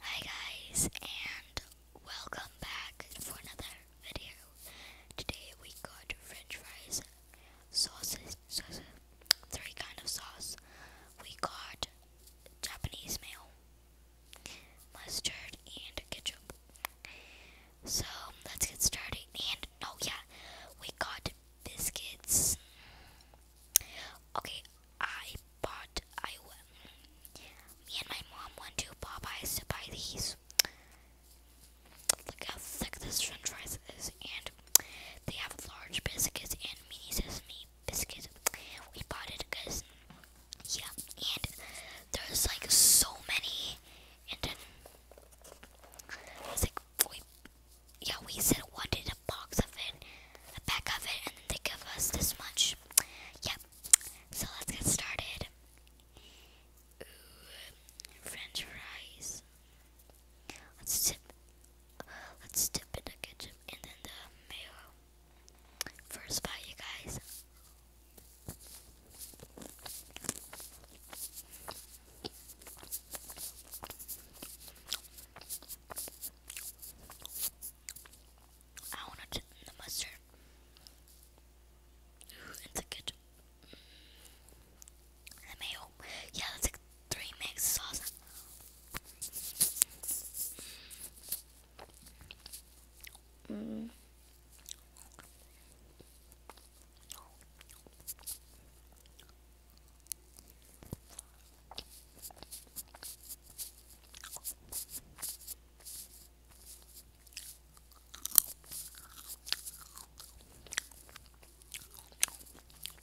Hi guys and welcome back for another video. Today we got french fries, sauces, sauces three kind of sauce. We got Japanese mayo, mustard and ketchup. So let's get started and oh yeah, we got biscuits Okay, I bought. I me and my mom went to Popeyes to buy these. Look how thick this French fries is, and they have large biscuits and mini sesame biscuits. We bought it guys. yeah, and there's like so many, and then it's like yeah we said what did box of it, a pack of it, and they give us this much. Yep. So let's get started. French fries. Let's dip. Let's dip in the ketchup and then the mayo. First bite, you guys. I want to dip the mustard and the ketchup. mayo. Yeah, that's like three mixed sauce. Mm.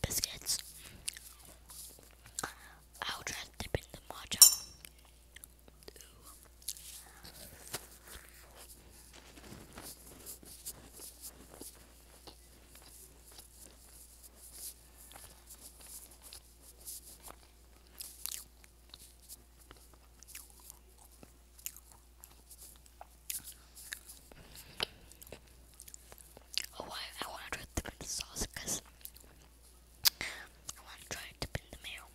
Biscuits. I'll try and dip in the matcha. Oh, I, I want to try dipping the sauce because I want to try dipping the mayo.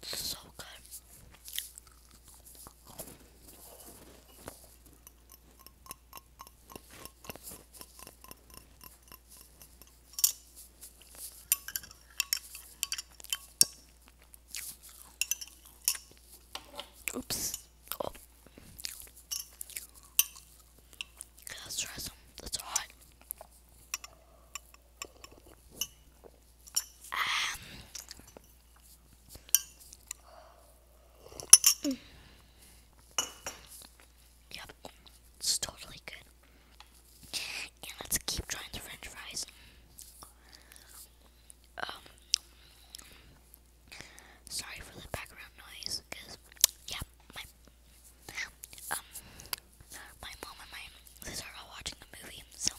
That's so good. Oops. Let's try some. That's hot. Um, yep, it's totally good. And let's keep trying the French fries. Um, Sorry for the background noise, cause yeah, my um my mom and my sister are watching the movie, so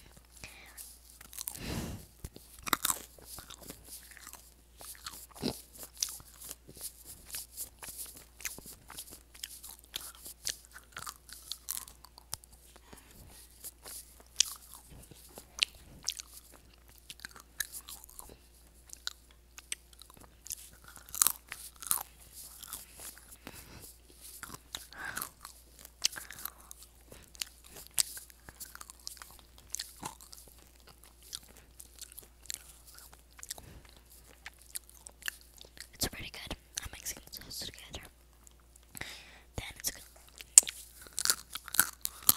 it's pretty good. I'm mixing the sauce together. Then it's good.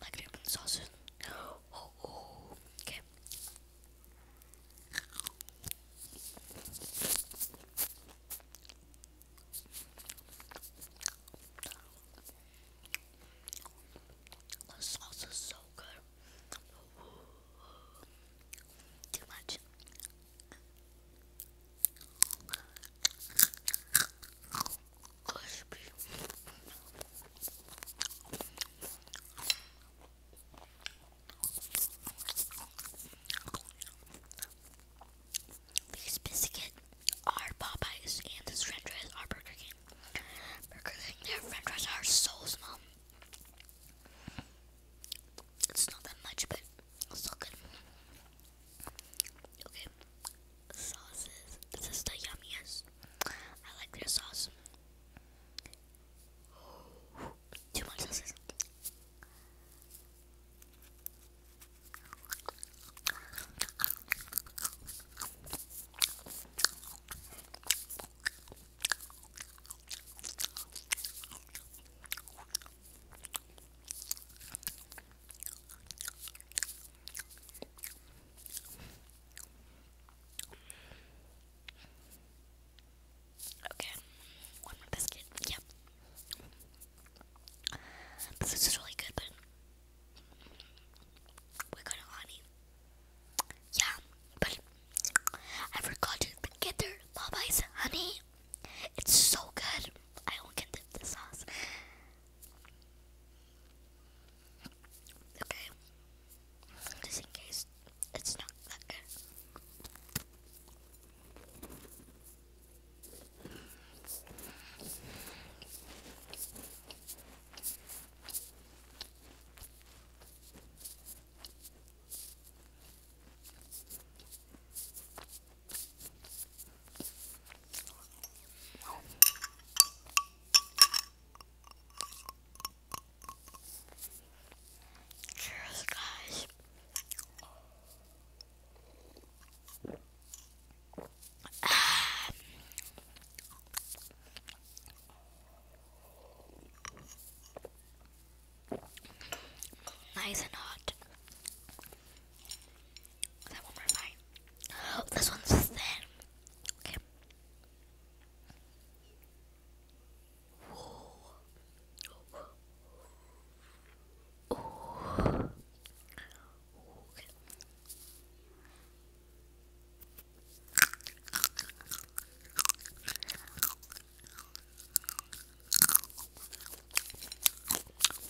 Like an open oh, oh, okay. The sauce is so good. Too much crispy. These biscuit are Popeyes and this french fries are Burger King. Burger King, their french fries are so small. It's not that much, but still good. Okay, sauces. This is the yummiest. I like their sauce. Too much sauces. Okay, one more biscuit. Yep. This is really good, but we're honey. Yeah, but I forgot to get their Popeyes honey. It's so good. I don't get the sauce. Okay. Just in case it's not that good. Cheers, guys. Nice and hot. That one we're Oh, this one's thin. Okay. Okay.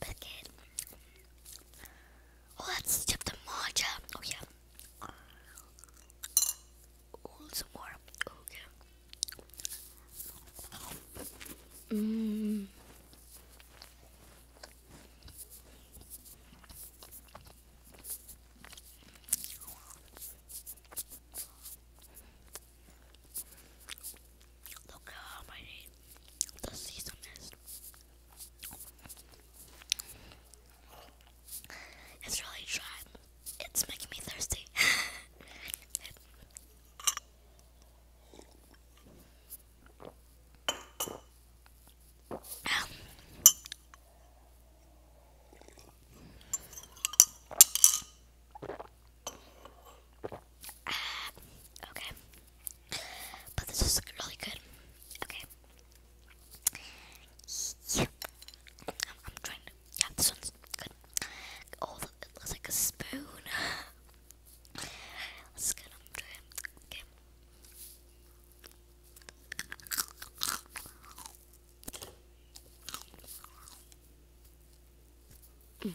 Bucket. let's dip the matcha. Oh, yeah. Oh, some more. Okay. Mmm. Look how mighty the season is. It's really dry. It's making me thirsty. Ah, okay. But this is really good. Okay. I'm, trying to. Yeah, this one's good. Oh, it looks like a spoon. Let's get them to him. Okay. Mm.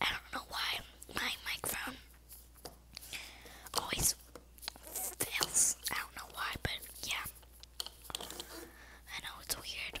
I don't know why my microphone always fails. I don't know why, but yeah. I know it's weird.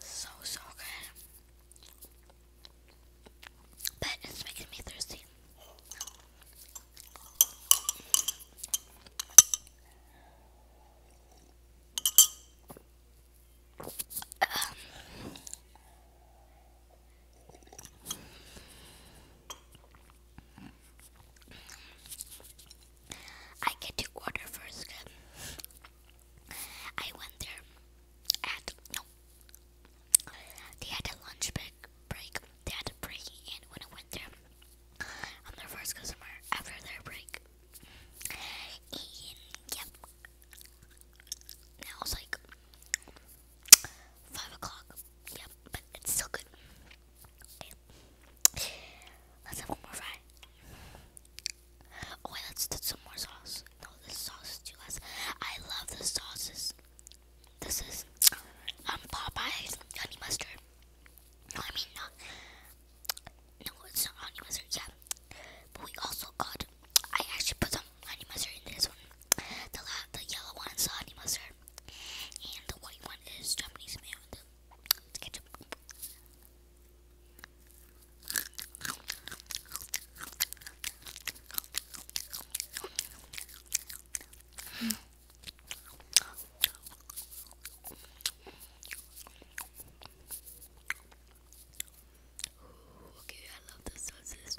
So, so good. But it's making me thirsty. Um. I get to order first. I went there at They had a lunch break. They had a break, and when I went there, I'm their first customer after their break. yep, now it's like five o'clock. Yep, but it's still good. Okay. Let's have one more fry. Oh wait, let's do some more sauce. No, this sauce is too less. I love the sauces. This is um, Popeye's honey mustard. No, I mean not. No, it's not honey mustard. Yeah, but we also got. I actually put some honey mustard in this one. The the yellow one is honey mustard, and the white one is Japanese mayo. It's ketchup. okay, I love the sauces.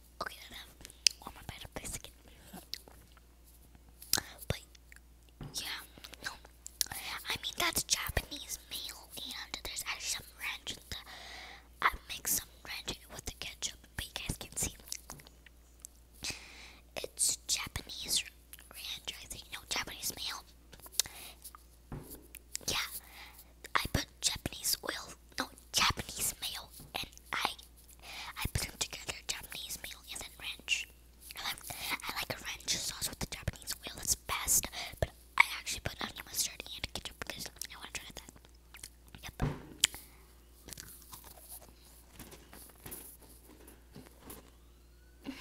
Okay, then I um, have one more bite But, yeah, no. I mean, that's Japanese meal, and there's actually some ranch in the. I mix some ranch with the ketchup, but you guys can see. It's Japanese ranch, I think. No, Japanese meal. Yeah, I put Japanese oil, no Japanese mayo, and I, I put them together, Japanese mayo and then ranch. I like, I like a ranch sauce with the Japanese oil. That's best, but I actually put onion mustard and ketchup because I want to try that. Yep.